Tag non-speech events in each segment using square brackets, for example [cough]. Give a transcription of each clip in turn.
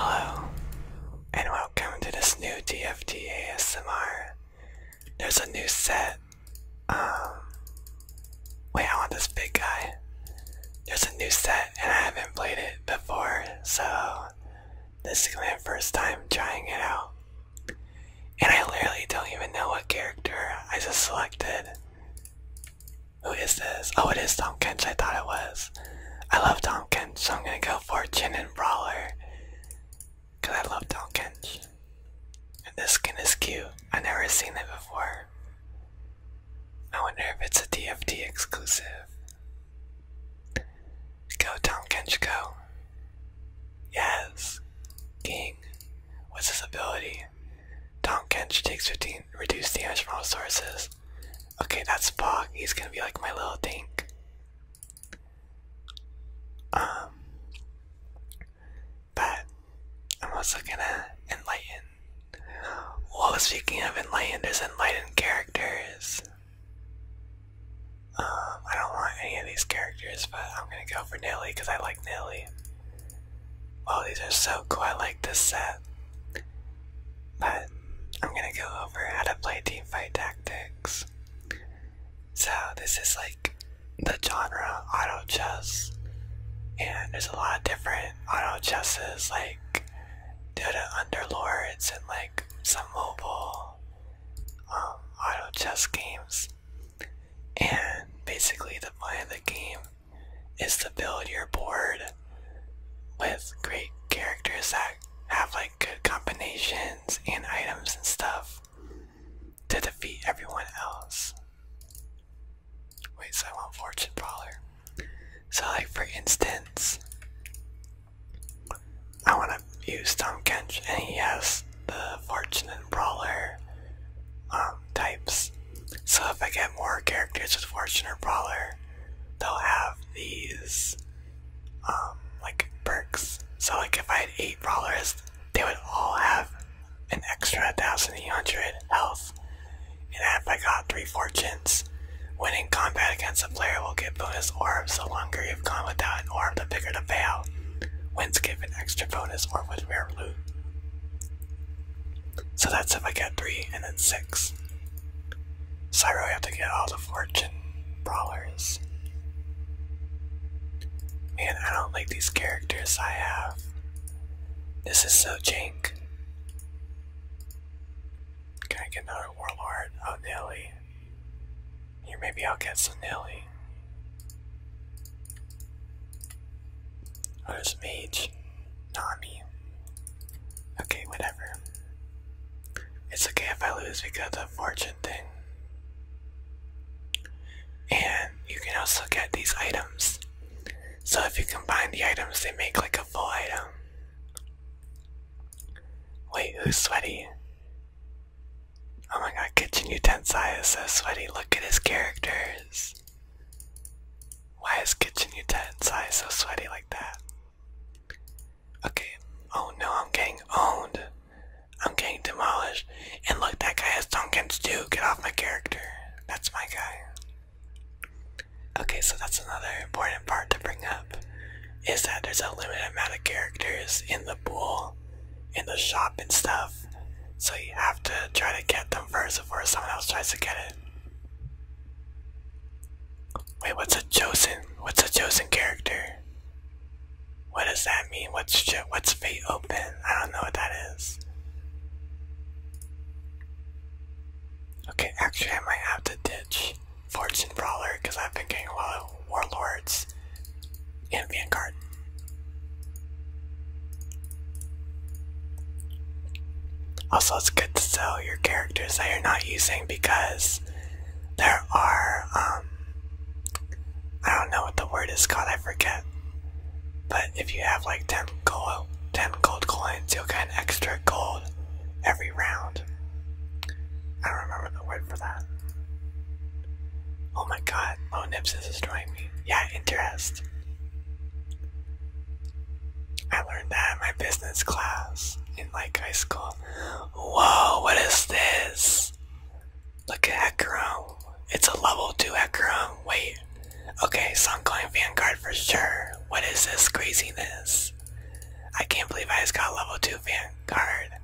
Hello, and welcome to this new DFT ASMR. There's a new set. Um, wait, I want this big guy. There's a new set, and I haven't played it before, so this is my first time trying it out. And I literally don't even know what character I just selected. Who is this? Oh, it is Tom Kench. I thought it was. I love Tom Donkins, so I'm gonna go for Chin and Brawler. I love Donkins. And this skin is cute. I never seen it before. I wonder if it's a DFT exclusive. Go Donkins, go. Yes. King. What's his ability? Donkins takes 15 reduced damage from all sources. Okay, that's Spock. He's gonna be like my little dink. Um, but I'm also gonna enlighten. Well, speaking of enlightened, there's enlightened characters. Um, I don't want any of these characters, but I'm gonna go for Nelly because I like Nelly. Oh, these are so cool. like this set. But I'm gonna go over how to play teamfight tactics. So, this is like the genre auto chess, and there's a lot of different auto chesses like Dota Underlords and like some mobile um, auto chess games. And basically, the point of the game is to build your board with great characters that have like good combinations and items and stuff to defeat everyone else. Wait, so I want Fortune Brawler. So like for instance, I want to use Tomkench and he has the Fortune and Brawler um, types. So if I get more characters with Fortune or Brawler, they'll have these um, like perks. So like if I had eight brawlers, they would all have an extra thousand eight hundred health. And if I got three fortunes, when in combat against a player will give bonus orbs. The longer you've gone without an orb, the bigger the payout. Wins give an extra bonus orb with rare loot. So that's if I get three and then six. So I really have to get all the fortune brawlers. Man, I don't like these characters I have. This is so jank. Can I get another warlord? Oh, Nelly. Here, maybe I'll get some Nelly. Oh, there's mage. Nani. Okay, whatever. It's okay if I lose because of fortune thing. And you can also get these items. So if you combine the items, they make like a full item. Wait, who's sweaty? Oh my god, Kitchen Utensai is so sweaty. Look at his characters. Why is Kitchen Utensai so sweaty like that? Okay. Oh no, I'm getting owned. I'm getting demolished. And look, that guy has Tonkins too. Get off my character. That's my guy. Okay, so that's another important part to bring up. Is that there's a limited amount of characters in the pool, in the shop and stuff. So you have to try to get them first before someone else tries to get it. Wait, what's a chosen? What's a chosen character? What does that mean? What's what's fate open? I don't know what that is. Okay, actually, I might have to ditch Fortune Brawler because I've been getting a lot of Warlords and Vanguard. Also, it's good to sell your characters that you're not using because there are, um, I don't know what the word is called, I forget. But if you have like 10 gold, 10 gold coins, you'll get an extra gold every round. I remember the word for that. Oh my god, Low Nips is destroying me. Yeah, interest. I learned that in my business class in like high school. Whoa, what is this? Look at Hecarim. It's a level 2 Hecarim. Wait. Okay, so I'm going Vanguard for sure. What is this craziness? I can't believe I just got level 2 Vanguard.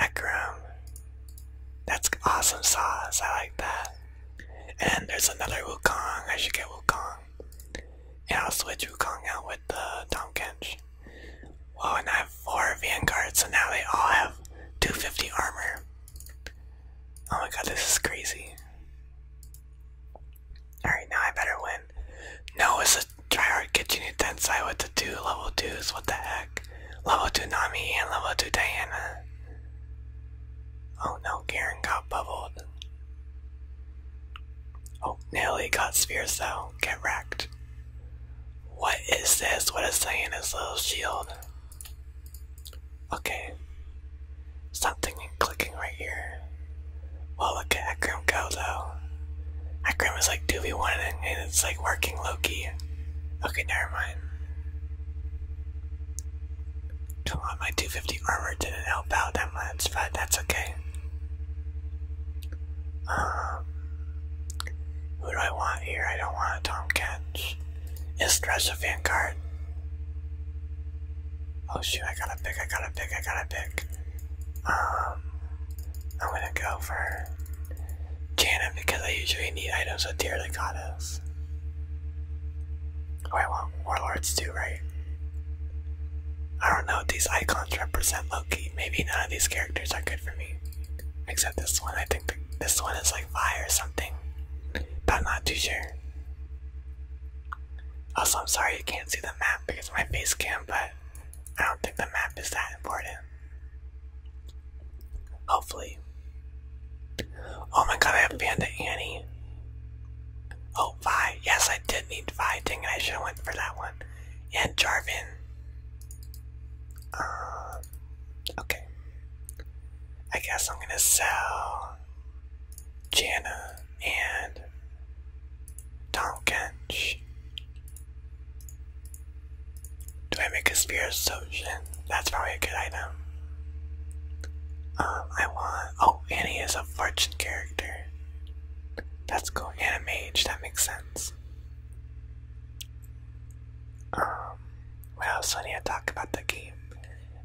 Hecarim. That's awesome sauce. I like that. And there's another Wukong. I should get Wukong and I'll switch Wukong out with the uh, Tom Kench. Well, and I have four Vanguards, so now they all have 250 armor. Oh my god, this is crazy. Alright, now I better win. No, it's a tryhard kitchen Tensai with the two level 2s, what the heck? Level 2 Nami and level 2 Diana. Oh no, Garen got bubbled. Oh, nearly got spheres though. Get wrecked. What is this? What is Diana's little shield? Okay. Something clicking right here. Well, look at Akram go though. Akram is like 2v1 and it's like working Loki. Okay, never mind. Come on, my 250 armor didn't help out that much, but that's okay. Um, who do I want here? I don't want a Tomkins. Is a Vanguard? Oh shoot, I got a pick, I got a pick, I got a pick. Um, I'm gonna go for Janet because I usually need items with Tear the Goddess. Oh, I want Warlords too, right? I don't know, these icons represent Loki. Maybe none of these characters are good for me. Except this one. I think this one is like fire or something. But I'm not too sure. Also, I'm sorry you can't see the map because my face cam, but I don't think the map is that important. Hopefully. Oh my god, I have Panda Annie. Oh, Vi. Yes, I did need Vi. Dang it, I should have went for that one. And Jarvin. Um, uh, okay. I guess I'm going to sell Janna and Tonkench. Do I make a Spear Solution? That's probably a good item. Um, I want... Oh, and he is a fortune character. That's cool. Yeah, mage. That makes sense. Um, what else do I need to talk about the game?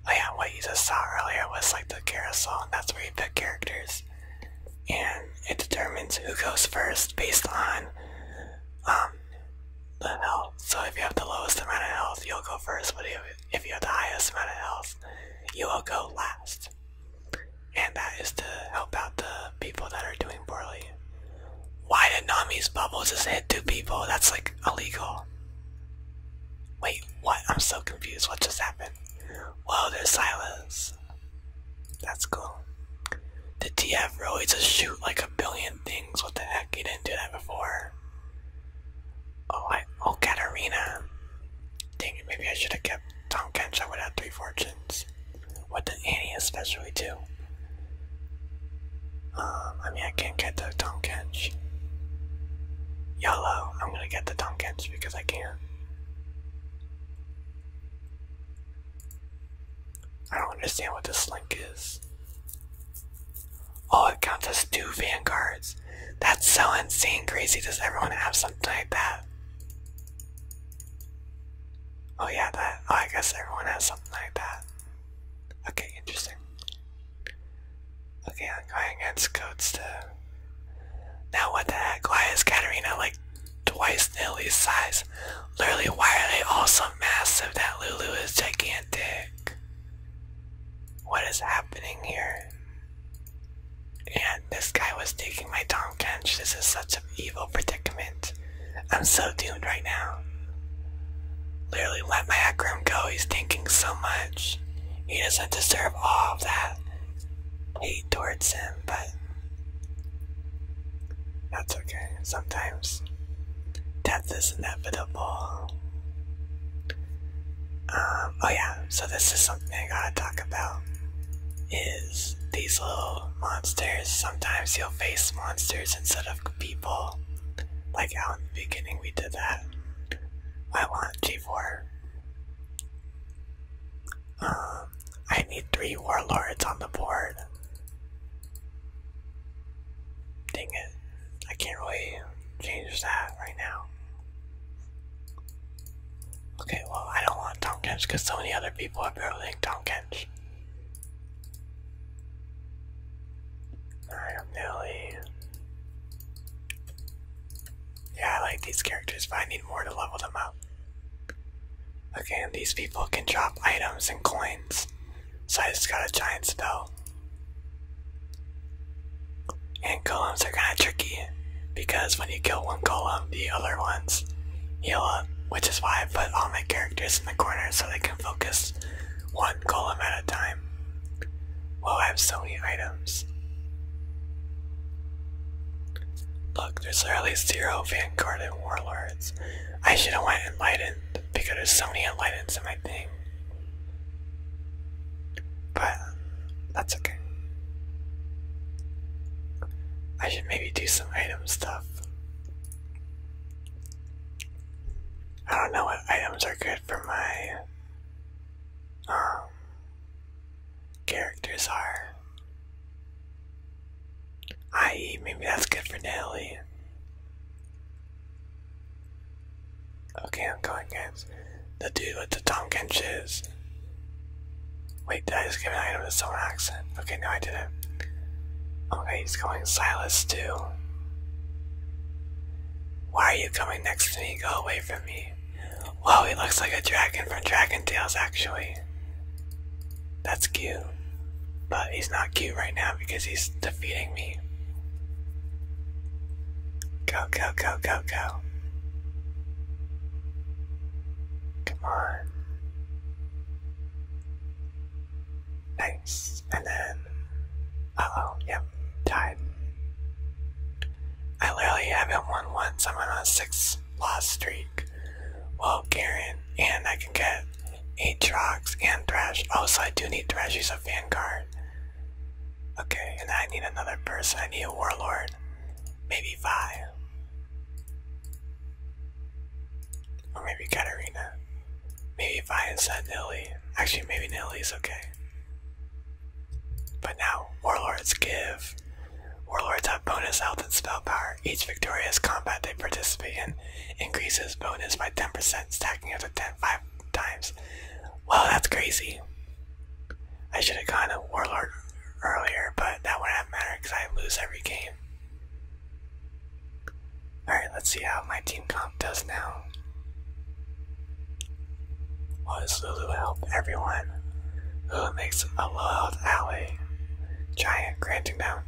Oh, yeah, what you just saw earlier was like the carousel, and that's where you pick characters, and it determines who goes first based on um the health. So if you have the lowest amount of health, you'll go first. But if if you have the highest amount of health, you will go last. And that is to help out the people that are doing poorly. Why did Nami's bubbles just hit two people? That's like illegal. Wait, what? I'm so confused. What just happened? Well, there's silence. That's cool. The TF really just shoot like a billion things? What the heck? He didn't do that before. Oh, I. Oh, Katarina. Dang it, maybe I should have kept Tom Kench. I would have three fortunes. What did Annie especially do? Um, I mean, I can't get the Tom Kench. Yellow. I'm gonna get the Tom Kench because I can. I don't understand what this link is. Oh, it counts as two vanguards. That's so insane, crazy. Does everyone have something like that? Oh yeah, that. Oh, I guess everyone has something like that. Okay, interesting. Okay, I'm going against codes to. Now what the heck? Why is Katerina like twice Nelly's size? Literally, why are they all so massive that Lulu is gigantic? What is happening here? And this guy was taking my Tom Kench. This is such an evil predicament. I'm so doomed right now. Literally, let my Akram go. He's thinking so much. He doesn't deserve all of that hate towards him, but that's okay. Sometimes death is inevitable. Um, oh yeah, so this is something I gotta talk about. Is these little monsters. Sometimes you'll face monsters instead of people. Like out in the beginning we did that. I want G4. Um, I need three warlords on the board. Dang it. I can't really change that right now. Okay, well, I don't want Tompkins because so many other people have building Tompkins. Alright, I'm Yeah, I like these characters, but I need more to level them up. Okay, these people can drop items and coins. So I just got a giant spell. And golems are kind of tricky because when you kill one golem, the other ones heal up, which is why I put all my characters in the corner so they can focus one golem at a time. Well, I have so many items. Look, there's literally zero Vanguard and Warlords. I should have went Enlightened because there's so many Enlightens in my thing. But that's okay. I should maybe do some item stuff. I don't know what items are good for my um characters are. I.e. maybe that's good for Nelly. Okay, I'm going against the dude with the Tongan shiz. Wait, did I just give an item accent? Okay, no, I didn't. Okay, he's going Silas too. Why are you coming next to me? Go away from me. Wow, he looks like a dragon from Dragon Tales, actually. That's cute. But he's not cute right now because he's defeating me. Go, go, go, go, go. Come on. Nice. And then, uh oh, yep, died. I literally haven't won once. I'm on a six loss streak. Well, Garen, and I can get eight Trox and Thresh. Oh, so I do need Thresh. He's a Vanguard. Okay, and I need another person. I need a warlord. Maybe Vi. Or maybe Katarina. Maybe Vi instead Nilly. Actually, maybe Nili is okay. But now, warlords give. Warlords have bonus health and spell power. Each victorious combat they participate in increases bonus by 10%, stacking up to 10 5 times. Well, that's crazy. I should have gotten a Warlord earlier, but that wouldn't matter because I lose every game. Alright, let's see how my team comp does now. Well, does Lulu help everyone? Lulu makes a low-health ally, giant, granting them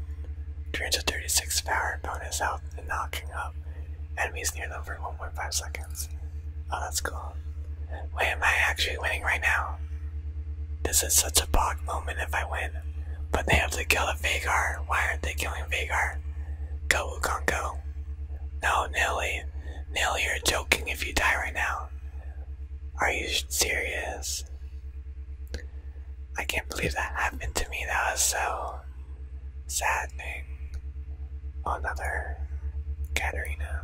336 power bonus health and knocking up enemies near them for 1.5 seconds. Oh, that's cool. Wait, am I actually winning right now? This is such a bog moment if I win. But they have to kill the Vagar. Why aren't they killing Vagar? Go, Wukong, No, Nilly. Nilly, you're joking if you die right now. Are you serious? I can't believe that happened to me. That was so sad, another Katarina.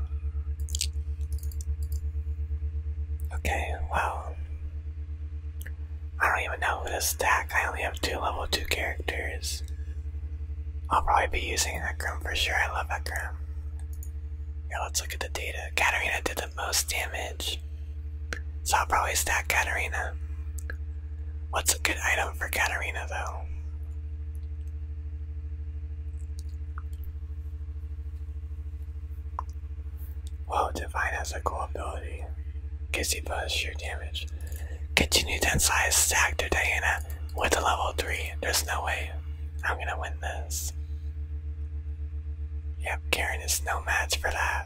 Okay, well, I don't even know who to stack. I only have two level 2 characters. I'll probably be using Ekram for sure. I love Ekram. Yeah, let's look at the data. Katarina did the most damage, so I'll probably stack Katarina. What's a good item for Katarina, though? Whoa, Divine has a cool ability. Kissy Buzz, sheer damage. Continue to size stack to Diana with a level 3. There's no way I'm gonna win this. Yep, Karen is no match for that.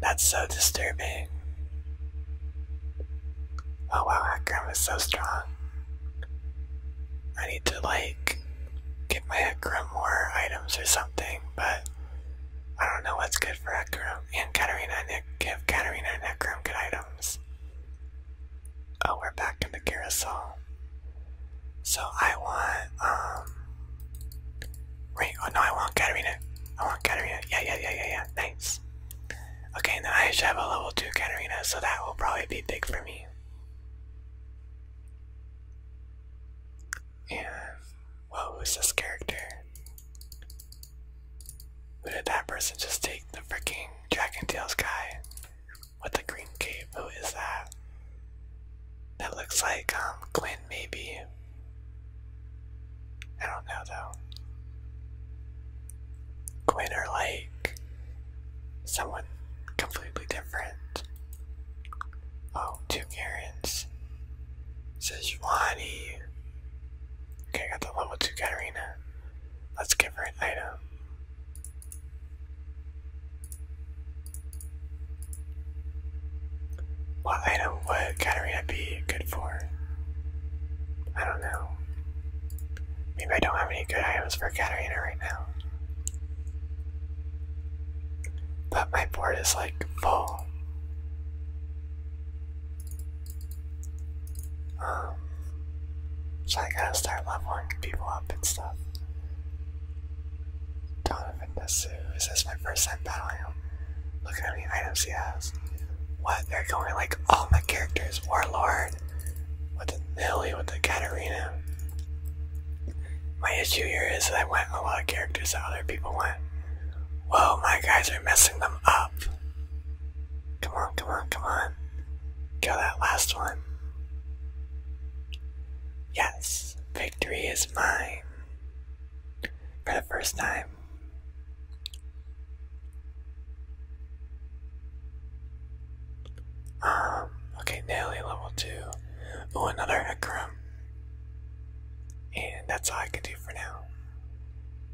That's so disturbing. Oh wow, Akram is so strong. I need to like get my Ekram more items or something, but I don't know what's good for Ekram and Katerina, and give Katarina and Ekram good items. Oh, we're back in the carousel. So I want um wait, oh no, I want Katerina. I want Katerina. Yeah, yeah, yeah, yeah, yeah. Nice. Okay, now I should have a level 2 Katarina, so that will probably be big for me. And what this character? Who did that person just take the freaking Dragon tail guy with the green cape? Who is that? That looks like um Glenn maybe. I don't know though. Glitter Lake. Someone completely different. Oh, two Karens. Sejuani. Okay, I got the level 2 Katarina. Let's give her an item. What item would Katarina be good for? I don't know. Maybe I don't have any good items for Caterina right now. But my board is like full. Um, so I gotta start leveling people up and stuff. Donovan Nasu, is this my first time battling him? Look at how many items he has. What? They're going like all my characters. Warlord with the Millie, with the Katarina. My issue here is that I went a lot of characters that other people went. Whoa, my guys are messing them up. Come on, come on, come on. Kill that last one. Yes, victory is mine. For the first time. Um, okay, Nelly level 2. Oh, another Hecarim. And that's all I can do for now.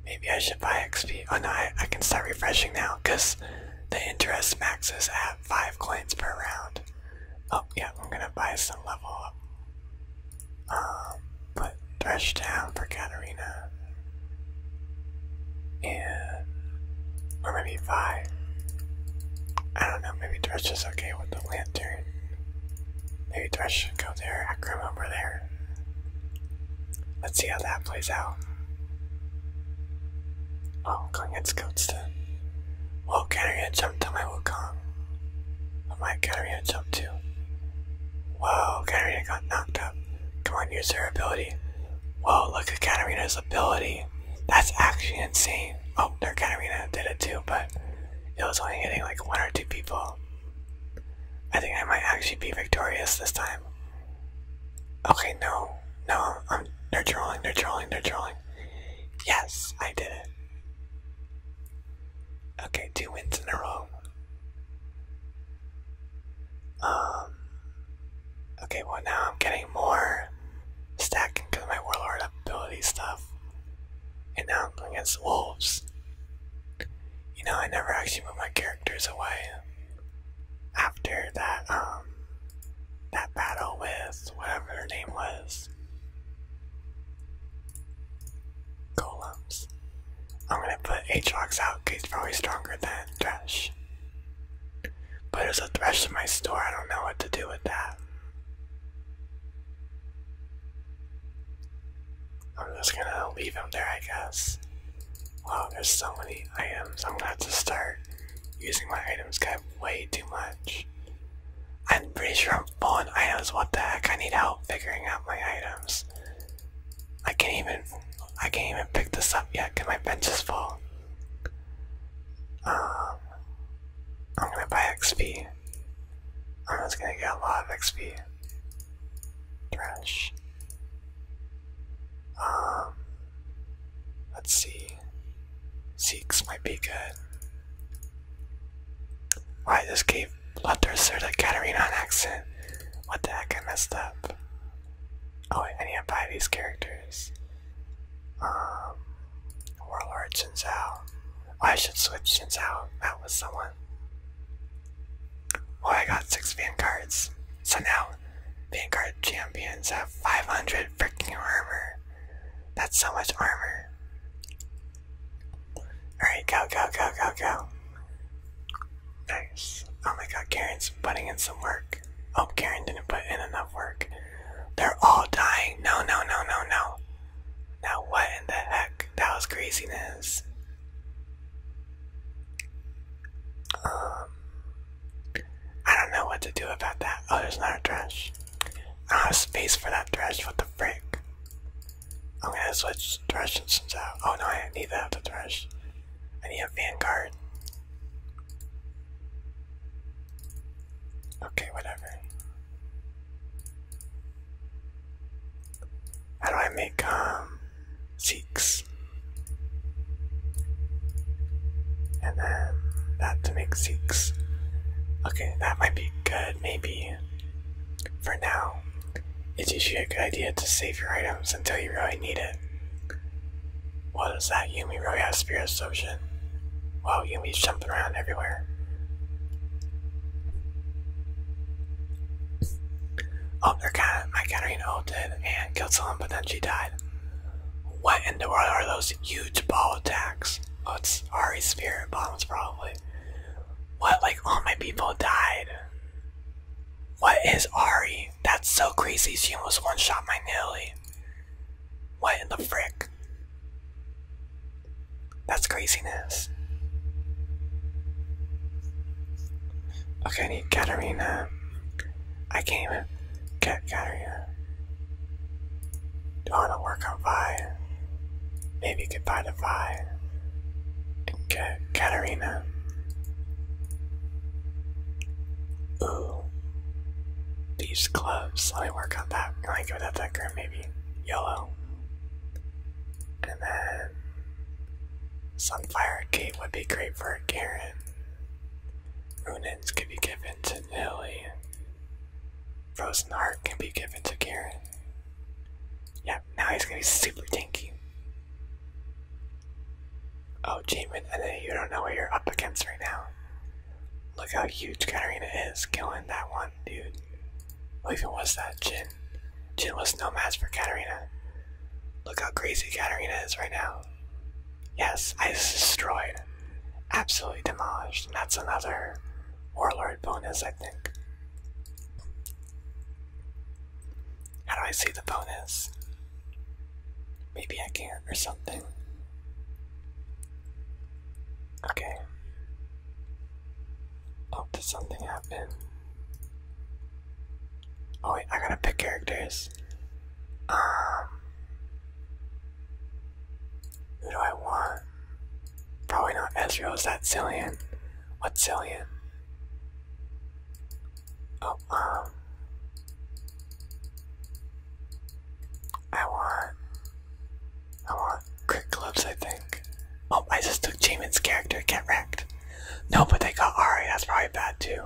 Maybe I should buy XP. Oh no, I, I can start refreshing now because the interest maxes at 5 coins per round. Oh yeah, I'm gonna buy some level up. Um, put Thresh down for Katarina and or maybe five. I don't know. Maybe Thresh is okay with the lantern. Maybe Thresh should go there. Akram over there. Let's see how that plays out. Oh, Kong gets goats then. Well, Katarina jumped to my Wukong. But my Katarina jumped too. Whoa, Katarina got knocked up. Come on, use her ability. Whoa, look at Katarina's ability. That's actually insane. Oh, there, Katarina did it too, but it was only hitting like one or two people. I think I might actually be victorious this time. Okay, no, no, I'm they're trolling, they're drawing. they're trolling. Yes, I did it. Okay, two wins in a row. Um. Okay, well now I'm getting more stacking because of my warlord ability stuff, and now I'm going against wolves. You know, I never actually moved my characters away after that um that battle with whatever her name was. Golems. I'm gonna put Aatrox out because he's probably stronger than Thresh. But there's a Thresh in my store, I don't know what to do with that. I'm just gonna leave him there, I guess. Wow, there's so many items. I'm gonna have to start using my items Got way too much. I'm pretty sure I'm full on items. What the heck? I need help figuring out my items. I can't even I can't even pick this up yet because my bench is full. Um, I'm gonna buy XP. I'm just gonna get a lot of XP. Trash. Um, let's see. Seeks might be good. Well, I just gave Bloodthirster to Katarina on accent. What the heck? I messed up. Oh, I need to buy these characters. Um, Warlord Xin Zhao. Oh, I should switch Xin Zhao out with someone. Oh, I got six Vanguards. So now, Vanguard champions have 500 freaking armor. That's so much armor. Alright, go, go, go, go, go. Nice. Oh my god, Karen's putting in some work. Oh, Karen didn't put in enough work. They're all dying. No, no, no, no, no. Now what in the heck? That was craziness. Um, I don't know what to do about that. Oh, there's another trash. I don't have space for that trash. What the freak? I'm gonna switch trash instance Oh no, I need to have the trash. I need a Vanguard. Okay, whatever. How do I make, um, Zeeks? And then that to make Zeeks. Okay, that might be good, maybe. For now, it's usually a good idea to save your items until you really need it. What is that? Yumi really has Spirit Ocean. Wow, Yumi's jumping around everywhere. Oh, they're kind of, my Katarina ulted and killed someone, but then she died. What in the world are those huge ball attacks? Oh, it's Ari's spirit bombs, probably. What, like all my people died? What is Ari? That's so crazy. She almost one shot my Nelly. What in the frick? That's craziness. Okay, I need Katarina. I can't even get Katarina. Do I want to work on Vi? Maybe you get find to Vi Okay. Katerina. Ooh. These gloves. Let me work on that. I like give that that grim maybe. Yellow. And then Sunfire Gate would be great for Garen. Runes can be given to Nilly. Frozen Heart can be given to Garen. Yep, now he's gonna be super dinky. Oh, Jamin, I know you don't know what you're up against right now. Look how huge Katarina is, killing that one dude. Who even was that? Jin. Jin was no match for Katarina. Look how crazy Katarina is right now. Yes, I destroyed. Absolutely demolished. And that's another warlord bonus, I think. How do I see the bonus? Maybe I can not or something. Okay. Oh, did something happen? Oh wait, I gotta pick characters. Um Who do I want? Probably not Ezreal, is that Zillion? What Zillion? Oh, um. I want. I want crit clubs, I think. Oh, I just took Jamin's character, get wrecked. No, but they got Ari, that's probably bad too.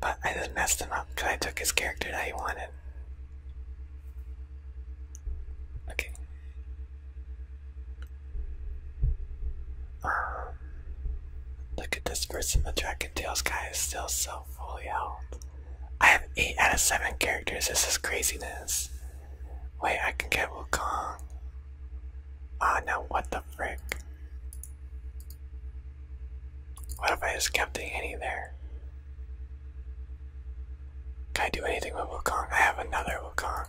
But I just messed him up because I took his character that he wanted. Okay. Um, [sighs] look at this person, the Dragon Tales guy is still so fully out. I have 8 out of 7 characters, this is craziness. Wait, I can get Wukong. Ah, oh, now what the frick? What if I just kept the Annie there? Can I do anything with Wukong? I have another Wukong.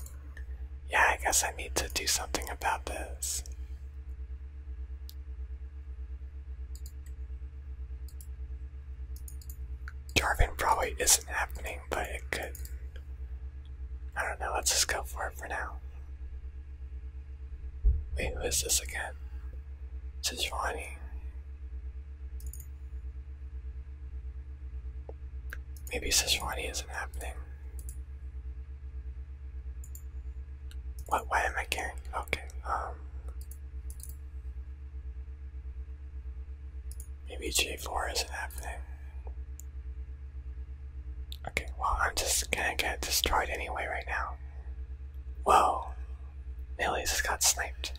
Yeah, I guess I need to do something about this. Jarvin probably isn't happening, but it could. I don't know, let's just go for it for now. Wait, who is this again? Sejuani. Maybe Sejuani isn't happening. What? Why am I caring? Okay. Um. Maybe G4 isn't happening. Okay, well, I'm just gonna get destroyed anyway right now. Whoa. Millie just got sniped.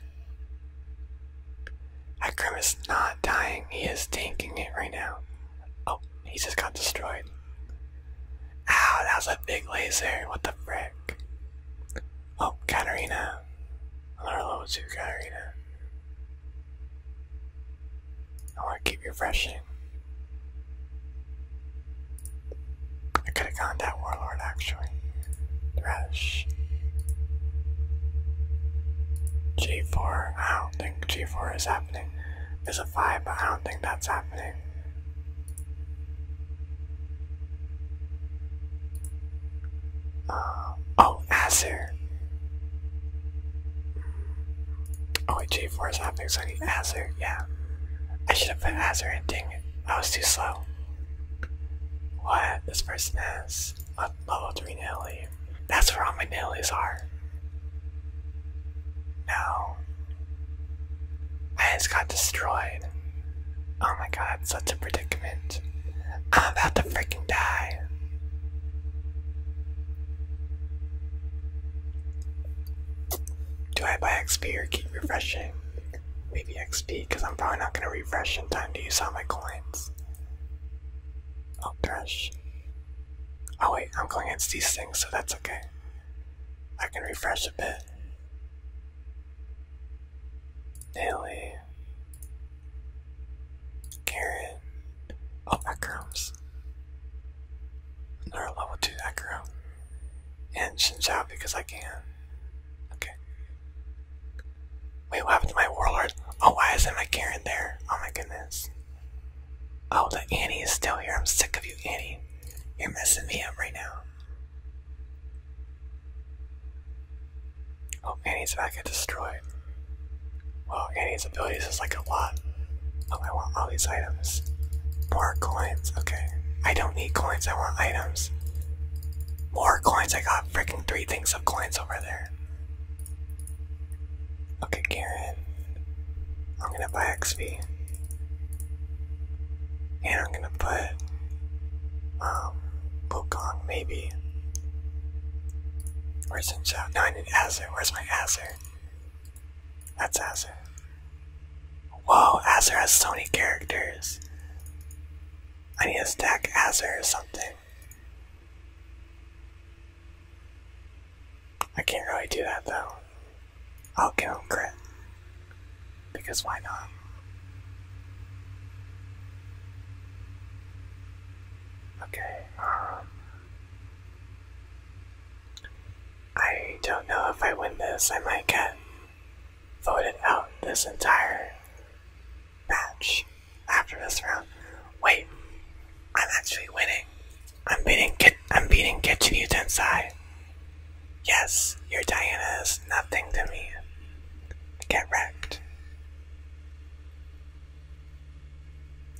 Akrim is not dying, he is tanking it right now. Oh, he just got destroyed. Ow, that was a big laser. What the frick? Oh, Katarina. Another level 2 I want to keep refreshing. I could have gone that warlord actually. Thresh. G4. I don't think G4 is happening something. There's a five, but I don't think that's happening. Uh, oh, Azir. Oh wait, G4 is happening, so I need Azir, yeah. I should have put Azir in, I was too slow. What? This person has level 3 Nelly. That's where all my nailies are. No. I just got destroyed. Oh my god, such a predicament. I'm about to freaking die. Do I buy XP or keep refreshing? Maybe XP, because I'm probably not going to refresh in time to use all my coins. Oh, thresh. Oh wait, I'm going against these things, so that's okay. I can refresh a bit. Daily. Carrot. Oh, Akrams. Another level 2 Akram. And Shinjao because I can. Okay. Wait, what happened to my Warlord? Oh, why is my Karen there? Oh my goodness. Oh, the Annie is still here. I'm sick of you, Annie. You're messing me up right now. Oh, Annie's back and destroyed. Well, Annie's abilities is like a lot. Oh, I want all these items. More coins. Okay. I don't need coins. I want items. More coins. I got freaking three things of coins over there. Okay, Karen. I'm gonna buy XP. And I'm gonna put um Wukong maybe. Where's Inshao? No, I need Azure. Where's my Azure? That's Azure. Whoa, Azure has so many characters. I need to stack Azure or something. I can't really do that though. I'll kill him crit. Because why not? Okay, um, I don't know if I win this, I might get voted out this entire match after this round. Wait, I'm actually winning. I'm beating Kit I'm beating Kitchen Utensai. Yes, your Diana is nothing to me. Get wrecked.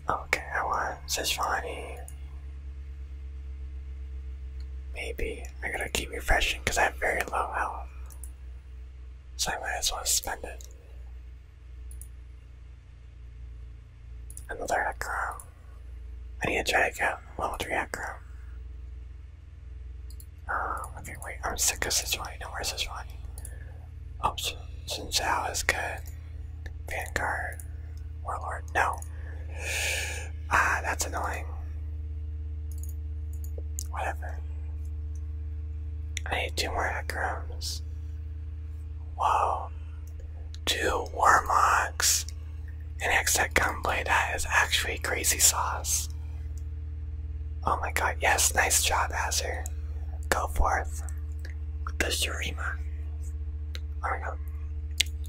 Okay, I want Sishvani. Maybe. I gotta keep refreshing because I have very low health. So I might as well spend it. Another acro. I need to try to get level 3 acro. Um, uh, okay, wait, I'm sick of Sejuani. No, where's Sejuani? Oh, Sun Zhao is good. Vanguard. Warlord. No. Ah, that's annoying. Whatever. I need two more acrons. Whoa. Two Warmocks. and Exec Gunblade. That is actually crazy sauce. Oh my god, yes, nice job, Azir. Go forth with the Shurima. Oh my god.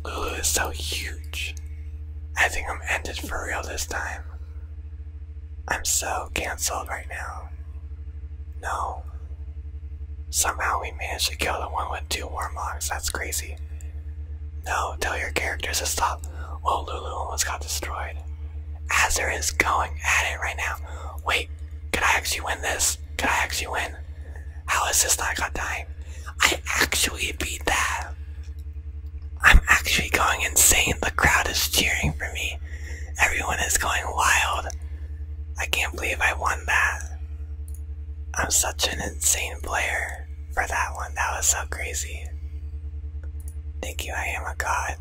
Lulu is so huge. I think I'm ended for real this time. I'm so cancelled right now. No. Somehow we managed to kill the one with two warmlocks. That's crazy. No, tell your characters to stop. Oh, Lulu almost got destroyed. Azir is going at it right now. Wait, could I actually win this? Could I actually win? How is this not got time? I actually beat that. I'm actually going insane. The crowd is cheering for me. Everyone is going wild. I can't believe I won that. I'm such an insane player for that one. That was so crazy. Thank you, I am a god.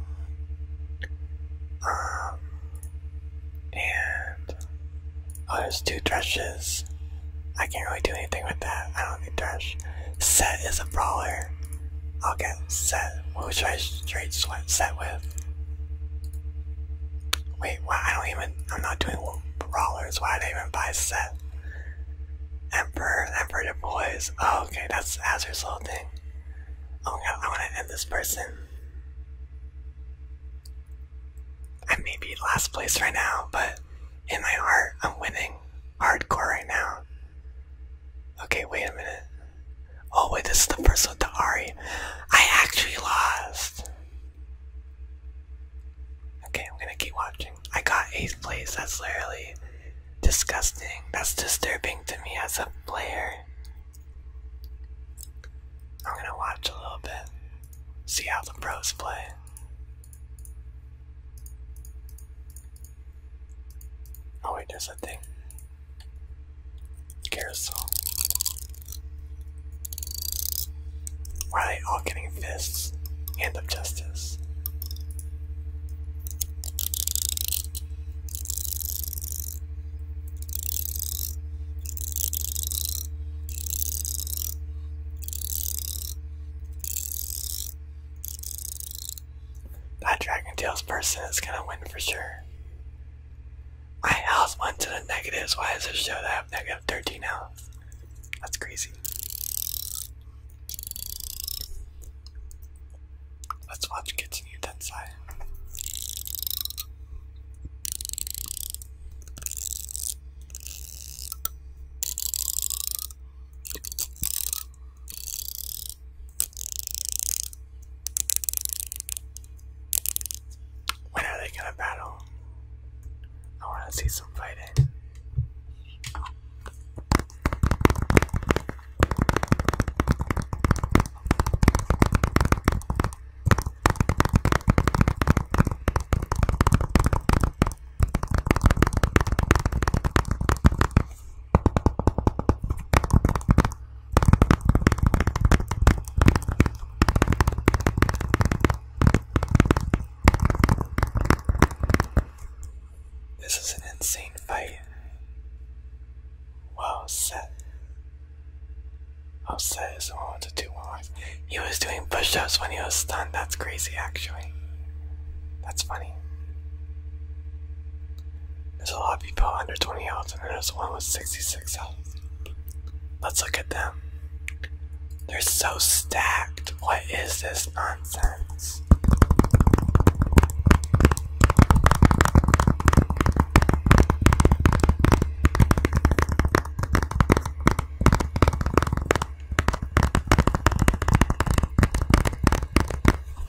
Um, and oh, there's two threshes. I can't really do anything with that. I don't need thresh. Set is a brawler. I'll get set. What should I trade sweat set with? Wait, why? I don't even. I'm not doing brawlers. Why did I even buy set? Emperor, Emperor Du Bois. Oh, okay, that's Azur's little thing. Oh my god, I want to end this person. I may be last place right now, but in my heart, I'm winning hardcore right now. Okay, wait a minute. Oh wait, this is the first one to Ari. I actually lost. Okay, I'm gonna keep watching. I got 8th place, that's literally disgusting. That's disturbing to me as a player. I'm gonna watch a little bit. See how the pros play. Oh wait, there's a thing. Carousel. Why are they all getting fists? Hand of justice. That Dragon Tales person is gonna win for sure. My house went to the negatives. Why does it show that I have negative 13 now? That's crazy. Let's watch continue that when are they gonna battle? I wanna see some fighting. This is an insane fight. Wow, Seth. Upset is on to two walks. He was doing push ups when he was stunned. That's crazy, actually. That's funny. There's a lot of people under 20 health, and there's one with 66 health. Let's look at them. They're so stacked. What is this nonsense?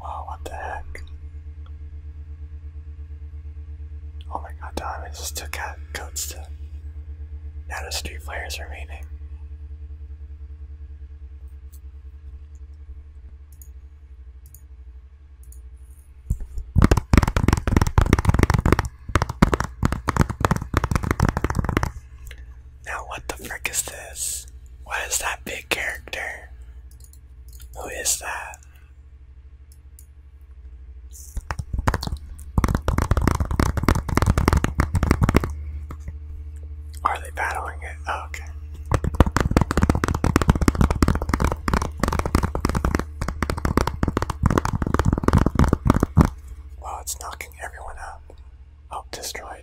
Wow, what the heck? Oh my god, diamonds still got coats to. Now the street players remaining. Now what the frick is this? What is that big character? Who is that? Are they battling it? Oh, okay. Wow, it's knocking everyone out. Oh, destroy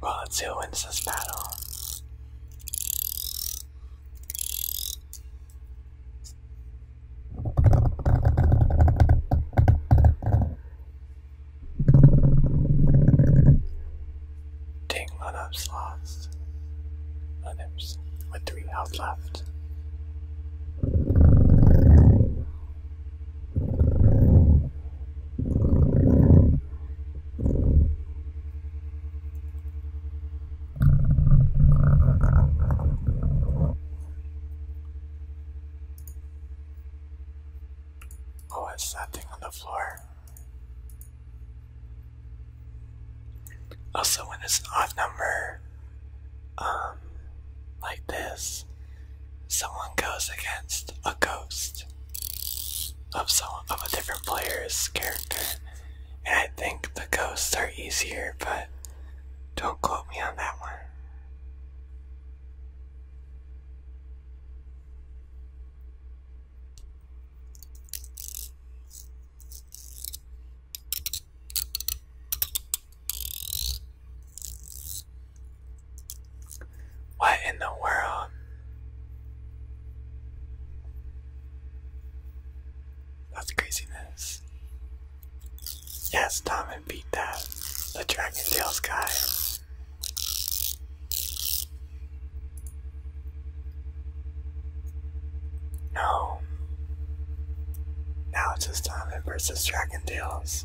Well, let's see who wins this battle. Take Lunup's lost. Lunup's with three health left. Oh, it's that thing on the floor. Also, when it's an odd number, um, like this, someone goes against a ghost of someone of a different player's character. And I think the ghosts are easier, but don't quote me on that one. What in the world? That's craziness. Yes, Tom and beat that. The Dragon Tales guy. No. Now it's just Tom and versus Dragon Tales.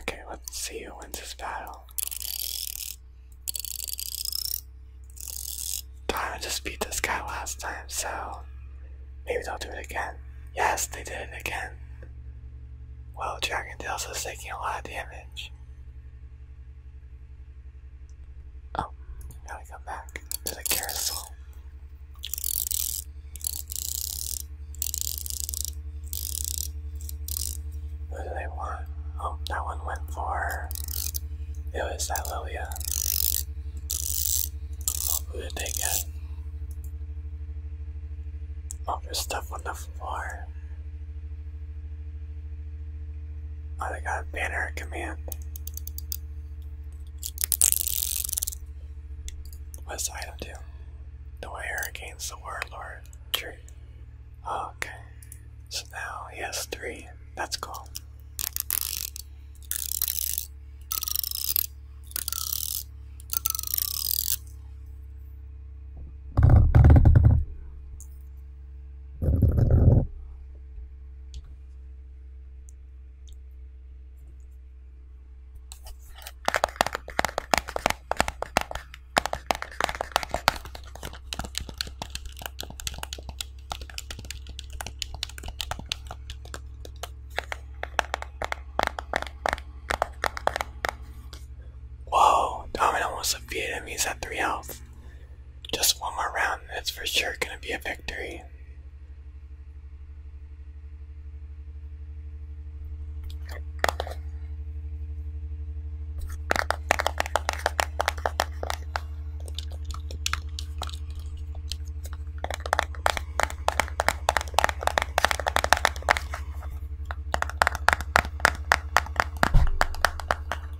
Okay, let's see who wins this battle. Darn, I just beat this guy last time, so maybe they'll do it again. Yes, they did it again. Well, Dragon Tails is taking a lot of damage. Oh, now we come back to the carousel. Who do they want? Oh, that one went for. It was that Lilia. Oh, who did they get? Oh, there's stuff on the floor. I got a banner command. What's item do? The warrior against the warlord. True. Ah, okay. So now he three. That's cool. Whoa, Domino wants to Vietnamese at three health. Just one more round, and it's for sure gonna be a victory.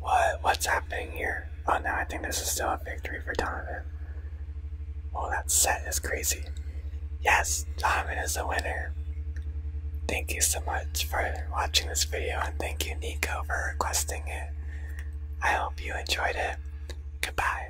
What? What's happening here? Oh no, I think this is still a victory for Donovan. Oh, that set is crazy. Yes, Donovan is the winner. Thank you so much for watching this video and thank you Nico for requesting it. I hope you enjoyed it. Goodbye.